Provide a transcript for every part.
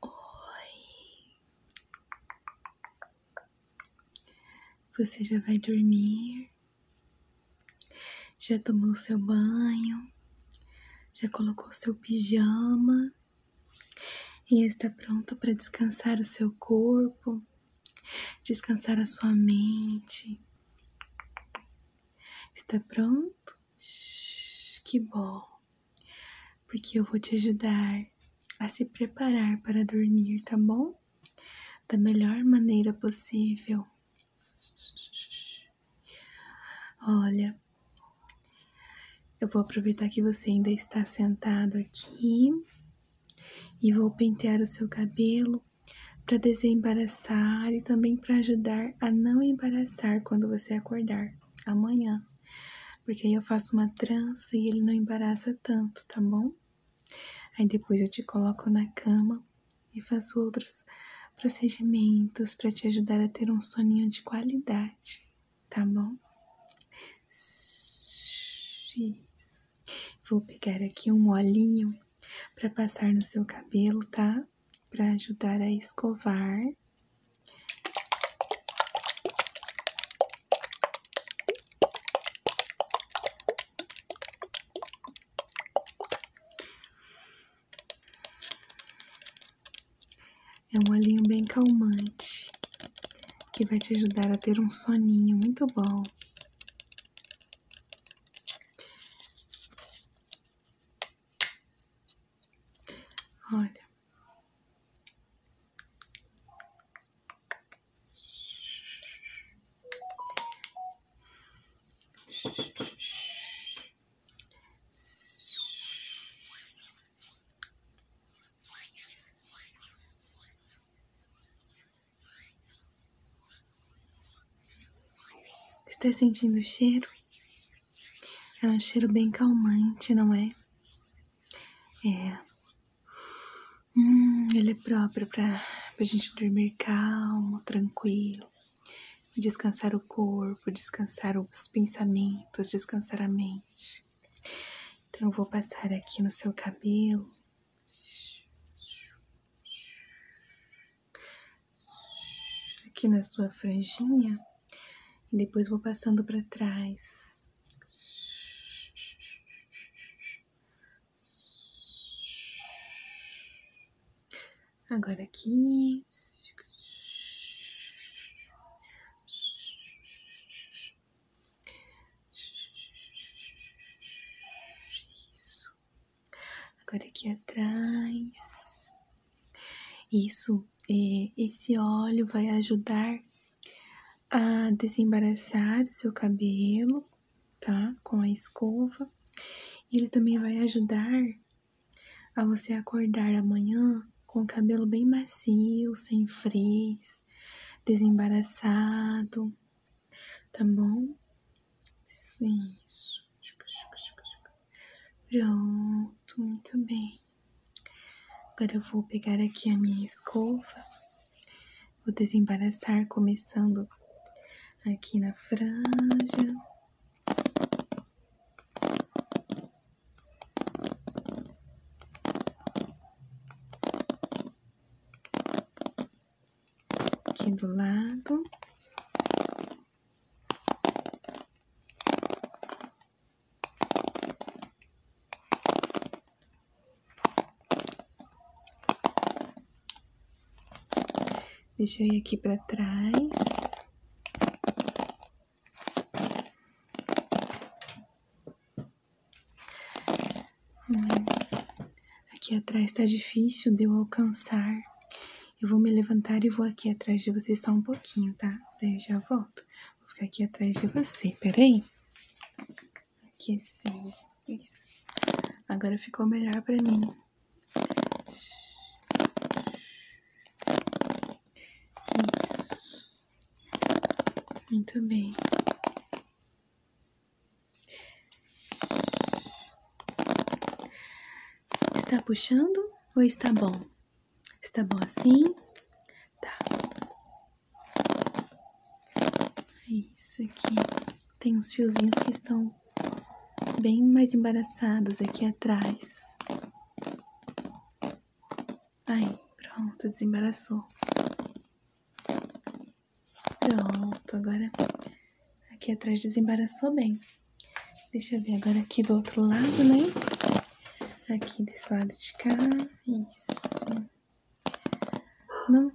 Oi, você já vai dormir? Já tomou seu banho? Já colocou seu pijama? E está pronto para descansar o seu corpo, descansar a sua mente? Está pronto? Que bom, porque eu vou te ajudar a se preparar para dormir, tá bom? Da melhor maneira possível. Olha, eu vou aproveitar que você ainda está sentado aqui e vou pentear o seu cabelo para desembaraçar e também para ajudar a não embaraçar quando você acordar amanhã, porque aí eu faço uma trança e ele não embaraça tanto, tá bom? Aí depois eu te coloco na cama e faço outros procedimentos para te ajudar a ter um soninho de qualidade, tá bom? Vou pegar aqui um molinho para passar no seu cabelo, tá? para ajudar a escovar. É um olhinho bem calmante que vai te ajudar a ter um soninho muito bom. Olha. Está sentindo o cheiro? É um cheiro bem calmante, não é? É. Hum, ele é próprio para a gente dormir calmo, tranquilo, descansar o corpo, descansar os pensamentos, descansar a mente. Então, eu vou passar aqui no seu cabelo aqui na sua franjinha e depois vou passando para trás. Agora aqui. Isso. Agora aqui atrás. Isso, é, esse óleo vai ajudar a desembaraçar seu cabelo, tá? Com a escova. Ele também vai ajudar a você acordar amanhã com o cabelo bem macio, sem frizz, desembaraçado, tá bom? sim isso. Pronto, muito bem. Agora eu vou pegar aqui a minha escova, vou desembaraçar começando aqui na franja. Aqui do lado. Deixei aqui para trás. Hum. Aqui atrás está difícil de eu alcançar. Eu vou me levantar e vou aqui atrás de você só um pouquinho, tá? Daí eu já volto. Vou ficar aqui atrás de você, peraí. Aqui assim, isso. Agora ficou melhor pra mim. Isso. Muito bem. Está puxando ou está bom? Está bom assim? Tá. É isso aqui. Tem uns fiozinhos que estão bem mais embaraçados aqui atrás. Aí, pronto, desembaraçou. Pronto, agora Aqui atrás desembaraçou bem. Deixa eu ver agora aqui do outro lado, né? Aqui desse lado de cá. Isso. Não.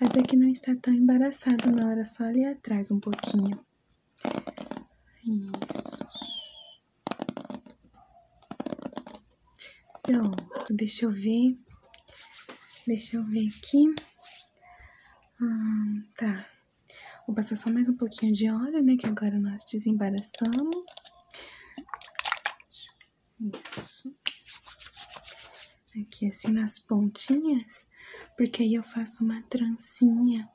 Até que não está tão embaraçado na hora, só ali atrás um pouquinho. Isso. Pronto, deixa eu ver. Deixa eu ver aqui. Hum, tá. Vou passar só mais um pouquinho de óleo, né? Que agora nós desembaraçamos. Isso. Aqui assim nas pontinhas, porque aí eu faço uma trancinha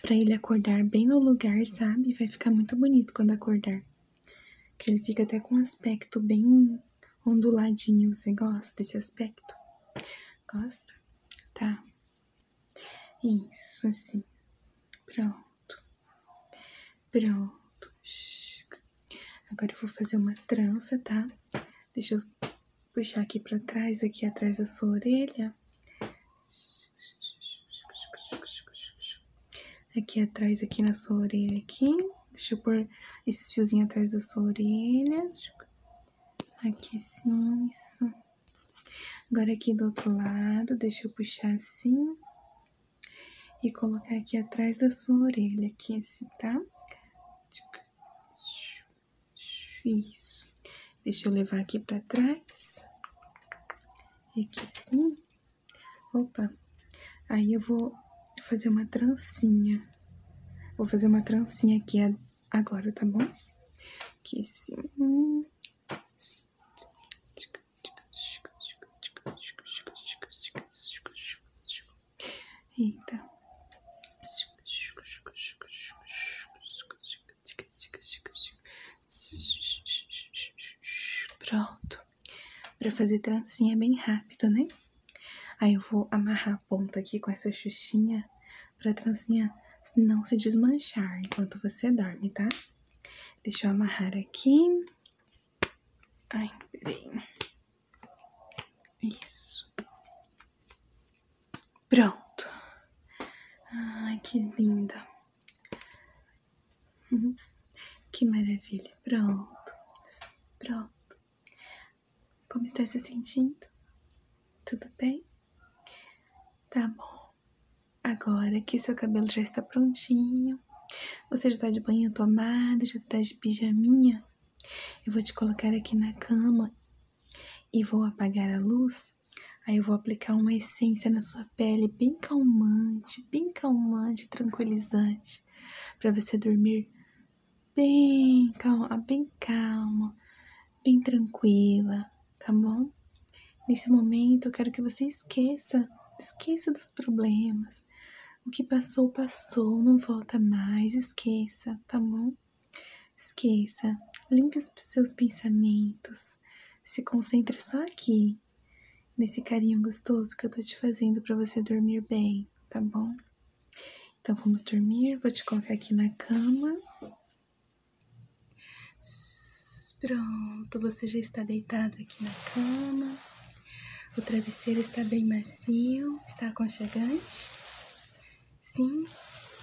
pra ele acordar bem no lugar, sabe? Vai ficar muito bonito quando acordar. Que ele fica até com um aspecto bem onduladinho. Você gosta desse aspecto? Gosta? tá? Isso, assim. Pronto. Pronto. Agora eu vou fazer uma trança, tá? Deixa eu puxar aqui pra trás, aqui atrás da sua orelha. Aqui atrás, aqui na sua orelha, aqui. Deixa eu pôr esses fiozinhos atrás da sua orelha. Aqui assim, isso. Agora aqui do outro lado, deixa eu puxar assim. E colocar aqui atrás da sua orelha, aqui assim, tá? Isso. Deixa eu levar aqui pra trás. E aqui sim. Opa. Aí eu vou fazer uma trancinha. Vou fazer uma trancinha aqui agora, tá bom? Que sim. Eita. Pronto. Pra fazer trancinha é bem rápido, né? Aí eu vou amarrar a ponta aqui com essa xuxinha pra trancinha não se desmanchar enquanto você dorme, tá? Deixa eu amarrar aqui. Ai, peraí. Isso. Pronto. Ai, que linda. Uhum. Que maravilha. Pronto. Pronto. Como está se sentindo? Tudo bem? Tá bom. Agora que seu cabelo já está prontinho, você já está de banho tomado, já está de pijaminha, eu vou te colocar aqui na cama e vou apagar a luz. Aí eu vou aplicar uma essência na sua pele bem calmante, bem calmante, tranquilizante, para você dormir bem calma, ah, bem calma, bem tranquila, tá bom? Nesse momento eu quero que você esqueça, esqueça dos problemas. O que passou, passou, não volta mais, esqueça, tá bom? Esqueça, limpe os seus pensamentos, se concentre só aqui, nesse carinho gostoso que eu tô te fazendo para você dormir bem, tá bom? Então vamos dormir. Vou te colocar aqui na cama. Pronto, você já está deitado aqui na cama. O travesseiro está bem macio, está aconchegante. Sim,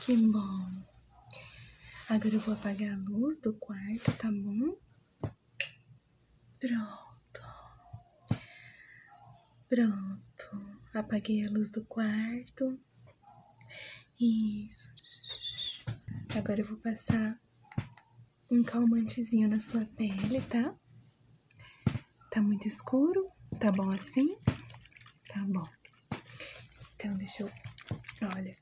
que bom. Agora eu vou apagar a luz do quarto, tá bom? Pronto. Pronto, apaguei a luz do quarto. Isso. Agora eu vou passar um calmantezinho na sua pele, tá? Tá muito escuro? Tá bom assim? Tá bom. Então, deixa eu. Olha.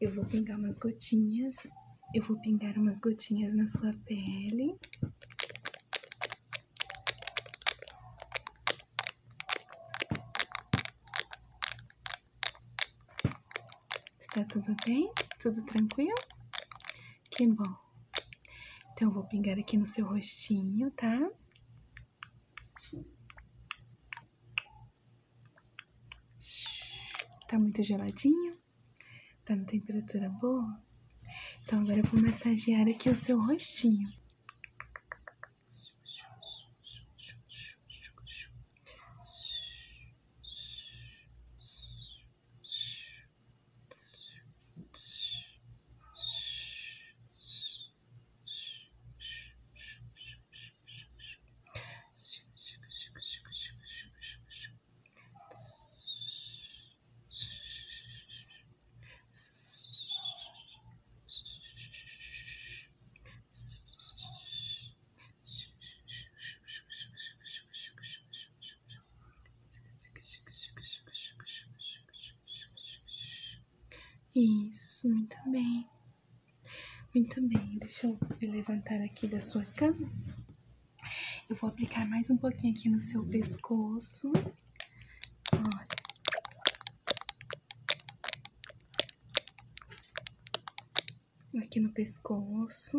Eu vou pingar umas gotinhas. Eu vou pingar umas gotinhas na sua pele. Está tudo bem? Tudo tranquilo? Que bom. Então, eu vou pingar aqui no seu rostinho, tá? Está muito geladinho? Tá na temperatura boa? Então agora vou massagear aqui o seu rostinho. Isso, muito bem. Muito bem, deixa eu me levantar aqui da sua cama. Eu vou aplicar mais um pouquinho aqui no seu pescoço. Aqui no pescoço.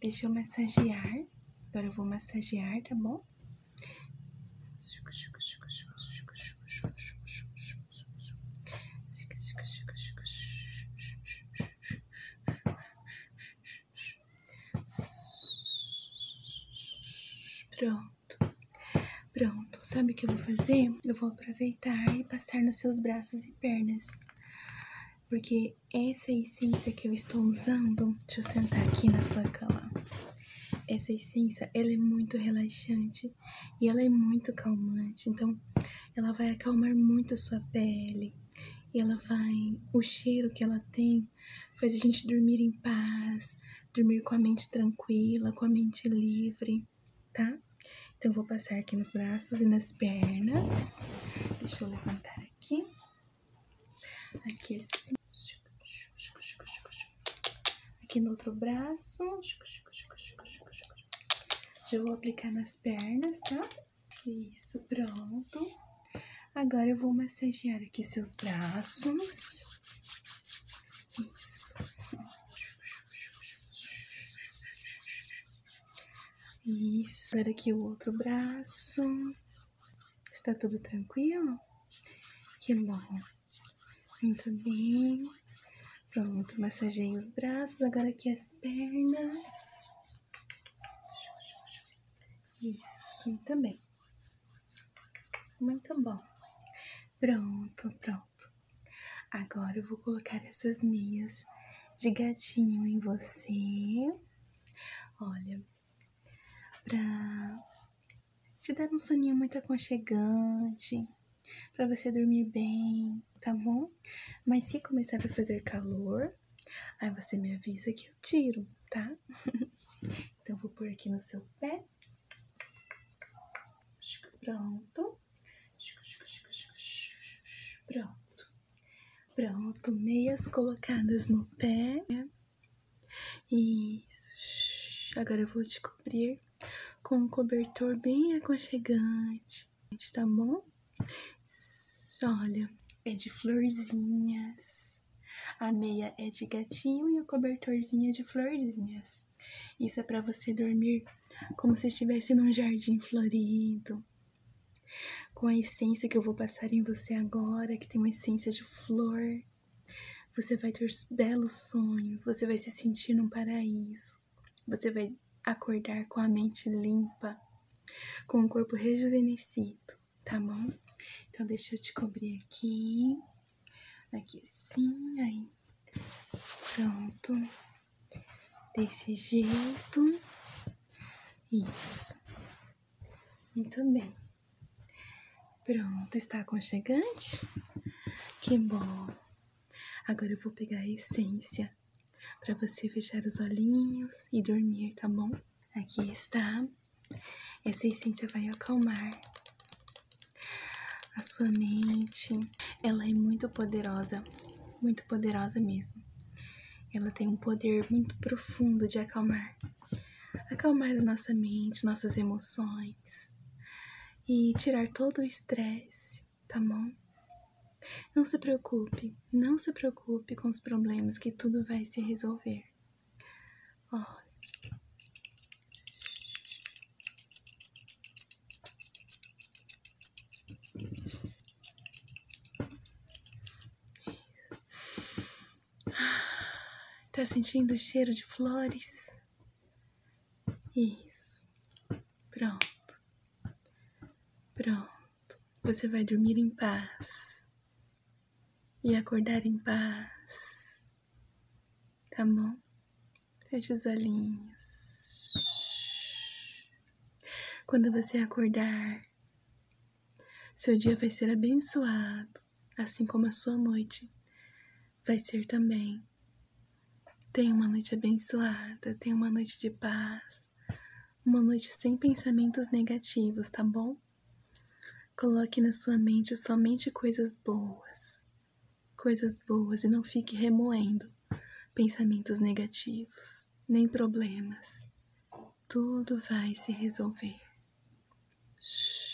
Deixa eu massagear. Agora eu vou massagear, tá bom? Pronto. Pronto. Sabe o que eu vou fazer? Eu vou aproveitar e passar nos seus braços e pernas. Porque essa essência que eu estou usando, deixa eu sentar aqui na sua cama. Essa essência, ela é muito relaxante e ela é muito calmante. Então, ela vai acalmar muito sua pele e ela vai. O cheiro que ela tem faz a gente dormir em paz, dormir com a mente tranquila, com a mente livre, tá? Então, vou passar aqui nos braços e nas pernas. Deixa eu levantar aqui. Aqui assim. Aqui no outro braço. Já vou aplicar nas pernas, tá? Isso, pronto. Agora eu vou massagear aqui seus braços. Isso. Isso. Agora aqui o outro braço. Está tudo tranquilo? Que bom. Muito bem. Pronto, massageei os braços. Agora aqui as pernas. Isso, também. Muito bom. Pronto, pronto. Agora eu vou colocar essas meias de gatinho em você. Olha, pra te dar um soninho muito aconchegante, para você dormir bem tá bom? Mas se começar a fazer calor, aí você me avisa que eu tiro, tá? então, vou por aqui no seu pé. Pronto. Pronto. Pronto, meias colocadas no pé. Isso. Agora eu vou te cobrir com um cobertor bem aconchegante, tá bom? Olha, é de florzinhas. A meia é de gatinho e o cobertorzinho é de florzinhas. Isso é para você dormir como se estivesse num jardim florido. Com a essência que eu vou passar em você agora, que tem uma essência de flor, você vai ter belos sonhos, você vai se sentir num paraíso. Você vai acordar com a mente limpa, com o corpo rejuvenescido, tá bom? Então deixa eu te cobrir aqui, aqui assim, aí. Pronto. Desse jeito. Isso. Muito bem. Pronto, está aconchegante? Que bom. Agora eu vou pegar a essência para você fechar os olhinhos e dormir, tá bom? Aqui está. Essa é assim essência vai acalmar a sua mente. Ela é muito poderosa, muito poderosa mesmo. Ela tem um poder muito profundo de acalmar acalmar a nossa mente, nossas emoções e tirar todo o estresse tá bom? Não se preocupe, não se preocupe com os problemas que tudo vai se resolver. Ó, Tá sentindo o cheiro de flores? Isso. Pronto. Pronto. Você vai dormir em paz e acordar em paz, tá bom? Feche os olhinhos. Quando você acordar, seu dia vai ser abençoado, assim como a sua noite vai ser também. Tenha uma noite abençoada, tenha uma noite de paz, uma noite sem pensamentos negativos, tá bom? Coloque na sua mente somente coisas boas, coisas boas e não fique remoendo pensamentos negativos, nem problemas. Tudo vai se resolver. Shhh.